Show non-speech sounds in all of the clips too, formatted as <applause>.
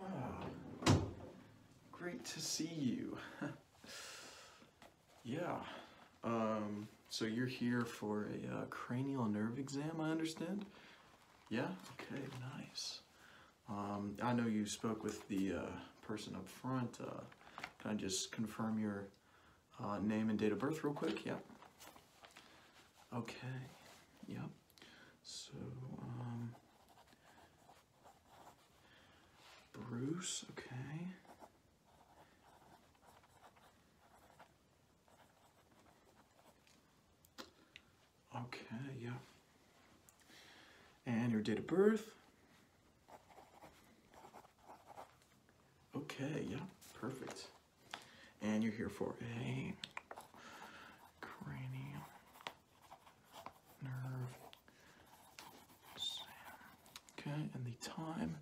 Ah, great to see you. <laughs> yeah. Um, so you're here for a uh, cranial nerve exam, I understand? Yeah? Okay, nice. Um, I know you spoke with the uh, person up front. Uh, can I just confirm your name and date of birth real quick? Yeah. Okay. Yep. So, um, Bruce, okay. Okay, yeah. And your date of birth. Okay, yeah, perfect. And you're here for a cranial nerve Okay, and the time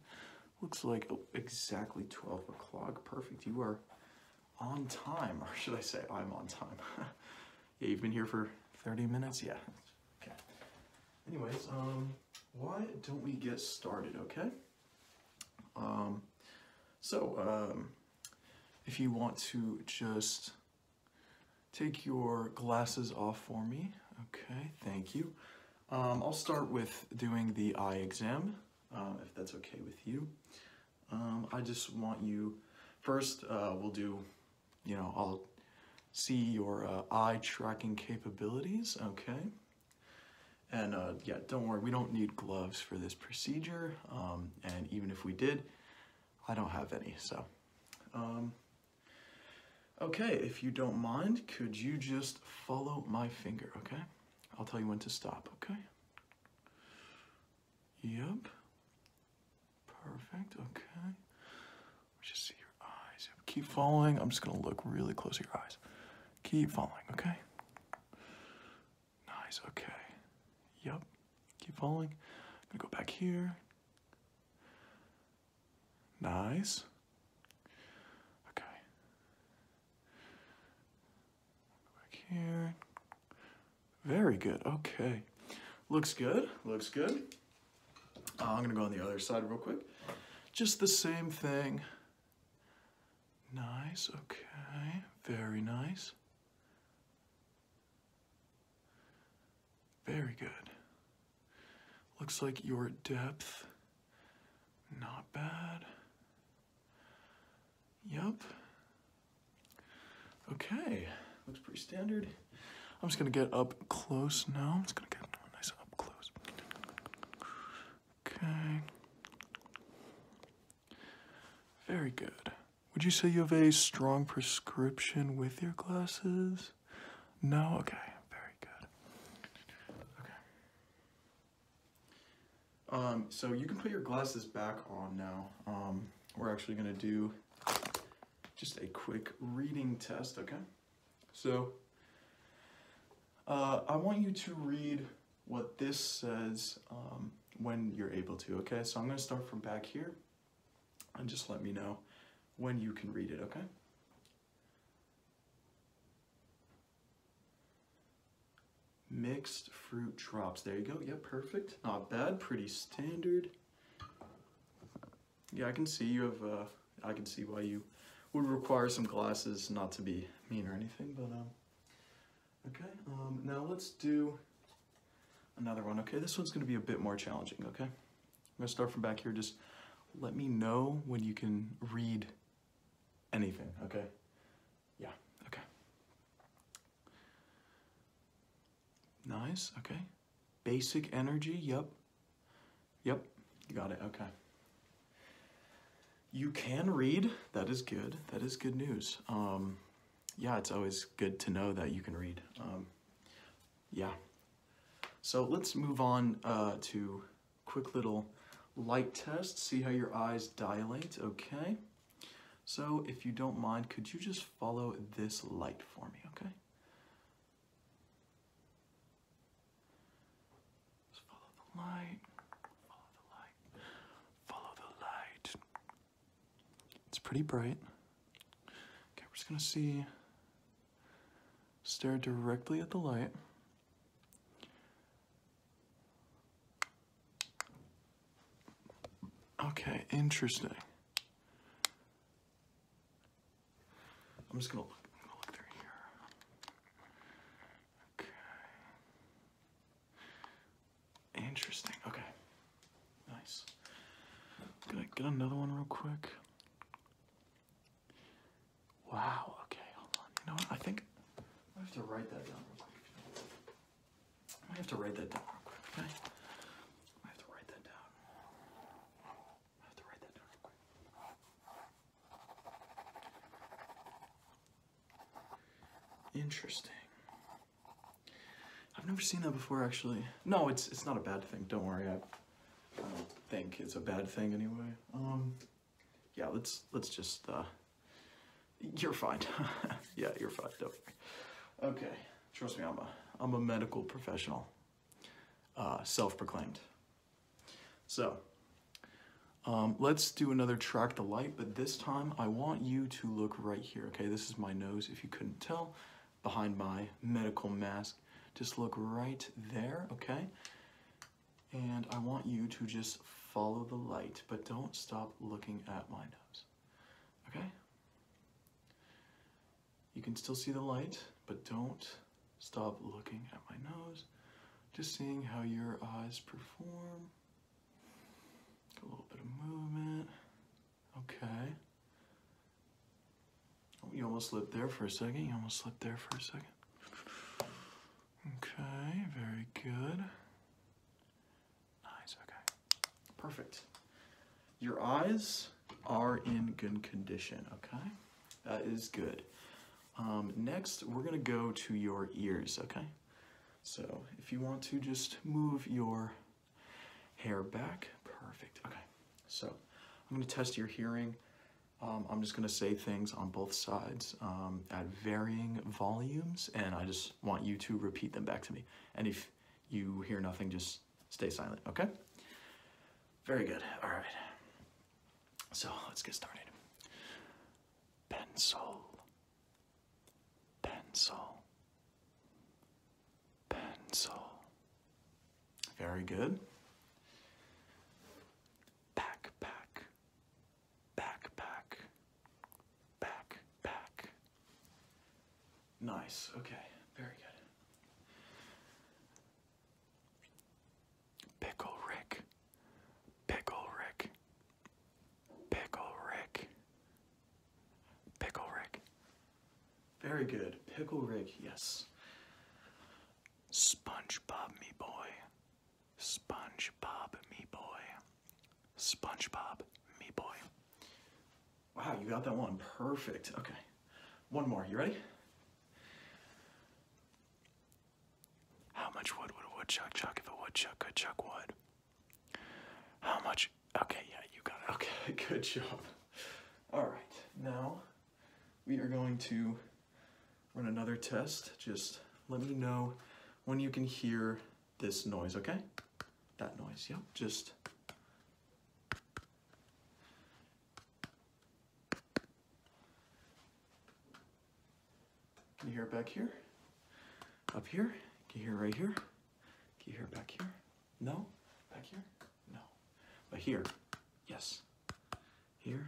looks like oh, exactly 12 o'clock. Perfect. You are on time, or should I say I'm on time. <laughs> yeah, you've been here for 30 minutes? Yeah. Okay. Anyways, um, why don't we get started, okay? Um, so um, if you want to just take your glasses off for me. Okay, thank you. Um, I'll start with doing the eye exam, if that's okay with you. I just want you, first uh, we'll do, you know, I'll see your uh, eye tracking capabilities, okay? And uh, yeah, don't worry, we don't need gloves for this procedure. Um, and even if we did, I don't have any, so. Um, okay, if you don't mind, could you just follow my finger, okay? I'll tell you when to stop, okay? Yep. Perfect, okay. Just see your eyes. Keep following. I'm just gonna look really close at your eyes. Keep falling, okay? Nice, okay. Yep. Keep falling. gonna go back here. Nice. Okay. Go back here. Very good. Okay. Looks good. Looks good. Uh, I'm gonna go on the other side real quick. Just the same thing. Nice, okay. Very nice. Very good. Looks like your depth, not bad. Yep. Okay, looks pretty standard. I'm just gonna get up close now. I'm just gonna get nice up close. Okay. Very good. Would you say you have a strong prescription with your glasses? No? Okay, very good. Okay. Um, so you can put your glasses back on now. Um, we're actually going to do just a quick reading test, okay? So uh, I want you to read what this says um, when you're able to, okay? So I'm going to start from back here and just let me know when you can read it, okay? Mixed fruit drops. There you go. Yeah, perfect. Not bad. Pretty standard yeah, I can see you have, uh, I can see why you would require some glasses, not to be mean or anything, but, um, okay, um, now let's do another one, okay? This one's gonna be a bit more challenging, okay? I'm gonna start from back here, just let me know when you can read anything, okay? Yeah, okay. Nice, okay. Basic energy, yep. Yep, got it, okay. You can read, that is good, that is good news. Um, yeah, it's always good to know that you can read. Um, yeah. So let's move on uh, to quick little light test, see how your eyes dilate, okay? So if you don't mind, could you just follow this light for me, okay? Just follow the light. Follow the light. Follow the light. It's pretty bright. Okay, we're just gonna see. Stare directly at the light. Okay, interesting. I'm just gonna look, Interesting. Okay. Nice. Gonna get another one real quick. Wow. Okay. Hold on. You know what? I think I have to write that down real quick. I have to write that down real quick. Okay. I have to write that down. Interesting. I've never seen that before, actually. No, it's it's not a bad thing. Don't worry. I, don't think it's a bad thing anyway. Um, yeah. Let's let's just. Uh, you're fine. <laughs> yeah, you're fine. Don't worry. Okay. Trust me. I'm a I'm a medical professional. Uh, self-proclaimed. So um, let's do another track the light, but this time I want you to look right here, okay? This is my nose, if you couldn't tell, behind my medical mask. Just look right there, okay? And I want you to just follow the light, but don't stop looking at my nose, okay? You can still see the light, but don't stop looking at my nose. Just seeing how your eyes perform. A little bit of movement. Okay. Oh, you almost slipped there for a second. You almost slipped there for a second. Okay, very good. Nice, okay. Perfect. Your eyes are in good condition, okay? That is good. Um, next, we're gonna go to your ears, okay? So if you want to just move your hair back, perfect, okay. So I'm gonna test your hearing. Um, I'm just gonna say things on both sides um, at varying volumes, and I just want you to repeat them back to me. And if you hear nothing, just stay silent, okay? Very good, all right. So let's get started. Pencil, pencil, pencil. Very good. Backpack, backpack, back, back. Nice, okay, very good. Pickle Rick, Pickle Rick, Pickle Rick, Pickle Rick. Very good, Pickle Rick, yes. Sponge Bob, me boy, Sponge Bob, me boy. SpongeBob, me boy. Wow, you got that one. Perfect. Okay. One more. You ready? How much wood would a woodchuck chuck if a woodchuck could chuck wood? How much? Okay, yeah, you got it. Okay, <laughs> good job. All right, now we are going to run another test. Just let me know when you can hear this noise, okay? That noise, yep. just... Can you hear it back here? Up here? Can you hear right here? Can you hear back here? No? Back here? No. But here, yes. Here.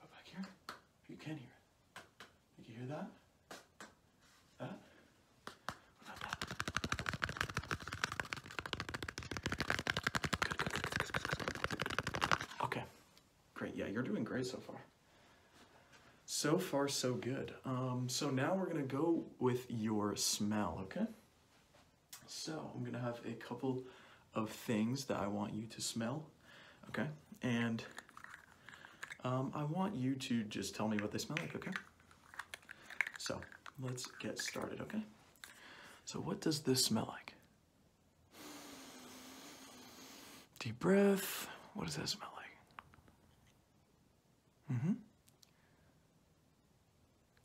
back here? You can hear it. Did you hear that? That? Okay. Great. Yeah, you're doing great so far. So far, so good. Um, so now we're going to go with your smell, okay? So I'm going to have a couple of things that I want you to smell okay? And um, I want you to just tell me what they smell like, okay? So let's get started, okay? So what does this smell like? Deep breath. What does that smell like? Mm-hmm.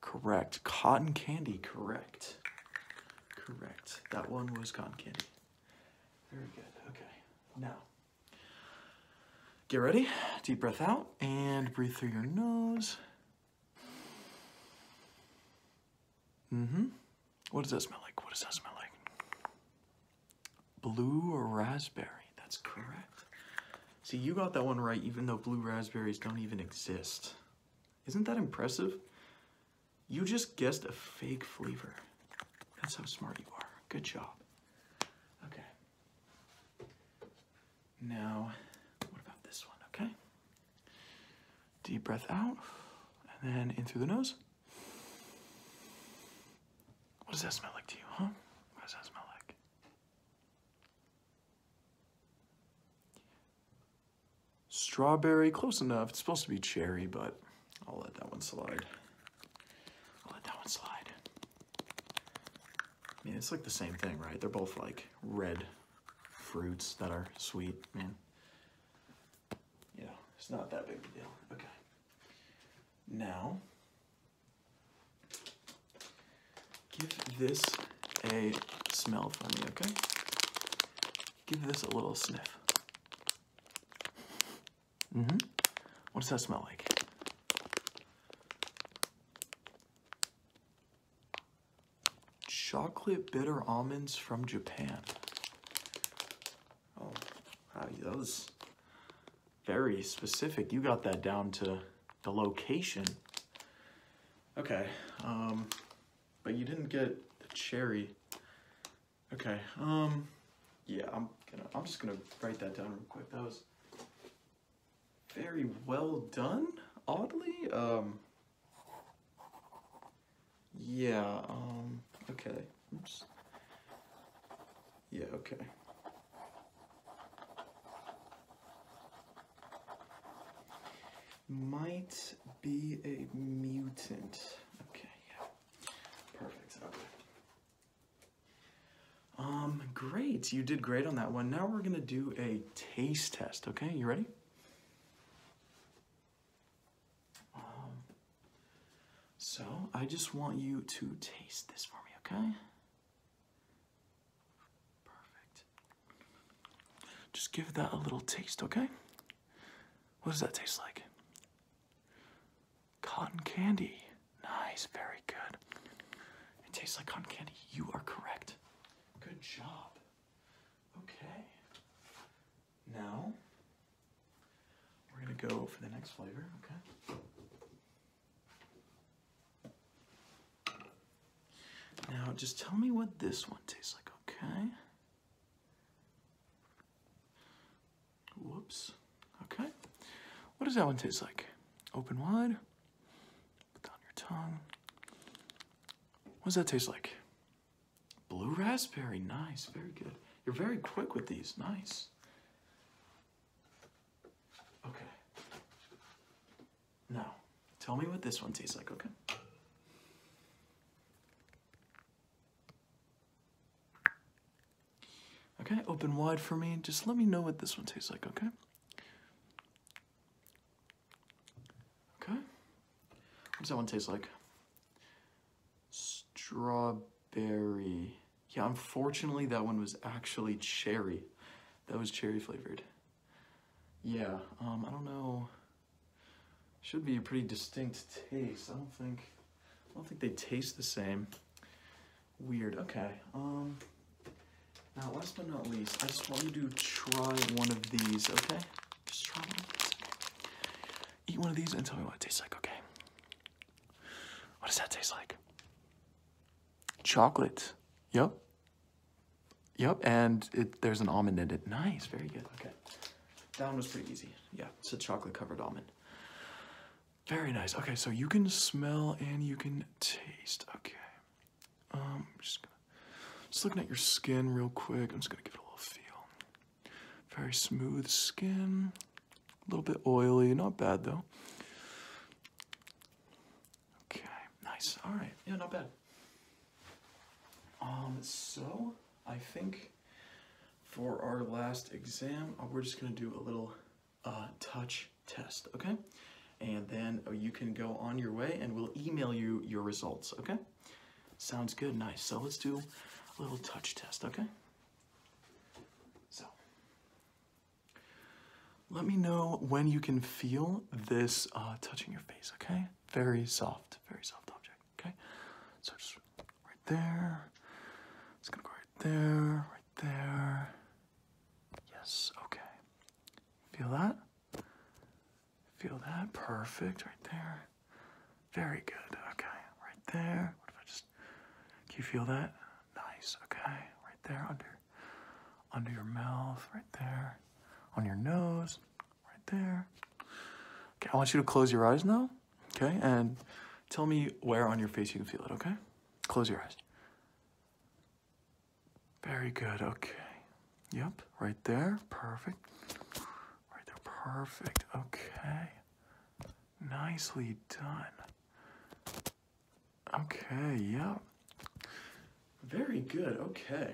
Correct. Cotton candy, correct. Correct. That one was cotton candy. Very good. Okay. Now, get ready. Deep breath out and breathe through your nose. Mm-hmm. What does that smell like? What does that smell like? Blue or raspberry? That's correct. See, you got that one right even though blue raspberries don't even exist. Isn't that impressive? You just guessed a fake flavor. That's how smart you are. Good job. Okay. Now, what about this one? Okay. Deep breath out, and then in through the nose. What does that smell like to you, huh? What does that smell like? Strawberry, close enough. It's supposed to be cherry, but I'll let that one slide. I'll let that one slide. I mean, it's like the same thing, right? They're both like red fruits that are sweet, man. Yeah, it's not that big of a deal. Okay. Now, give this a smell for me, okay? give this a little sniff. hmm What does that smell like? Chocolate bitter almonds from Japan. Oh, wow, that was very specific. You got that down to the location. Okay, um, but you didn't get the cherry. Okay, um, yeah, I'm gonna, I'm just gonna write that down real quick. That was very well done, oddly. Um, yeah, um, okay. Oops. Yeah, okay. Might be a mutant. Okay, Perfect. Um, great. You did great on that one. Now we're gonna do a taste test, okay? You ready? Um, so I just want you to taste this for me, okay? Perfect. Just give that a little taste, okay? What does that taste like? Cotton candy. Nice, very good. It tastes like cotton candy. You are correct. Good job. Okay. Now, we're going to go for the next flavor, okay? Now, just tell me what this one tastes like, okay? Whoops. Okay. What does that one taste like? Open wide. Put down your tongue. What does that taste like? Blue raspberry. Nice. Very good. You're very quick with these. Nice. Okay. No. Tell me what this one tastes like, okay? Okay, open wide for me. Just let me know what this one tastes like, okay? Okay. What does that one taste like? Strawberry. Yeah, unfortunately that one was actually cherry. That was cherry flavored. Yeah, um, I don't know. Should be a pretty distinct taste. I don't think, I don't think they taste the same. Weird, okay. Um, now, last but not least, I just want you to try one of these, okay? Just try one of these, Eat one of these and tell me what it tastes like, okay? What does that taste like? Chocolate. Yep, Yep, and there's an almond in it. Nice, very good. Okay. That one was pretty easy. Yeah, it's a chocolate covered almond. Very nice. Okay, so you can smell and you can taste. Okay. Um, I'm just gonna, just looking at your skin real quick. I'm just gonna give it a little feel. Very smooth skin. A little bit oily. Not bad though. Okay, nice. All right, yeah, not bad. Um, so I think for our last exam, uh, we're just gonna do a little uh, touch test, okay? And then uh, you can go on your way and we'll email you your results, okay? Sounds good, nice. So let's do a little touch test, okay? So, let me know when you can feel this uh, touching your face, okay? Very soft, very soft object, okay? So just right there. It's gonna go right there, right there. Yes, okay. Feel that? Feel that? Perfect, right there. Very good, okay. Right there. What if I just. Can you feel that? Nice. Okay. Right there under under your mouth, right there. On your nose, right there. Okay, I want you to close your eyes now. Okay? And tell me where on your face you can feel it, okay? Close your eyes. Very good. Okay. Yep, right there. Perfect. Right there. Perfect. Okay. Nicely done. Okay, yeah. Very good, okay.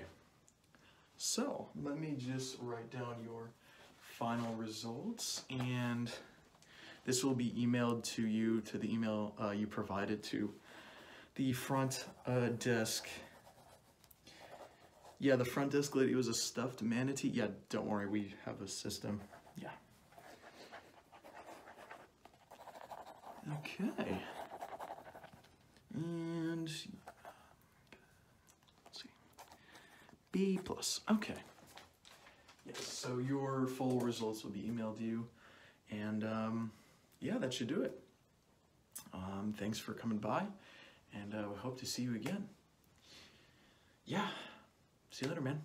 So, let me just write down your final results and this will be emailed to you to the email uh, you provided to the front uh, desk. Yeah, the front desk lady was a stuffed manatee. Yeah, don't worry, we have a system. Yeah. Okay. And see. B plus. Okay. Yes, so your full results will be emailed to you. And um, yeah, that should do it. Um, thanks for coming by, and uh, we hope to see you again. Yeah, see you later, man.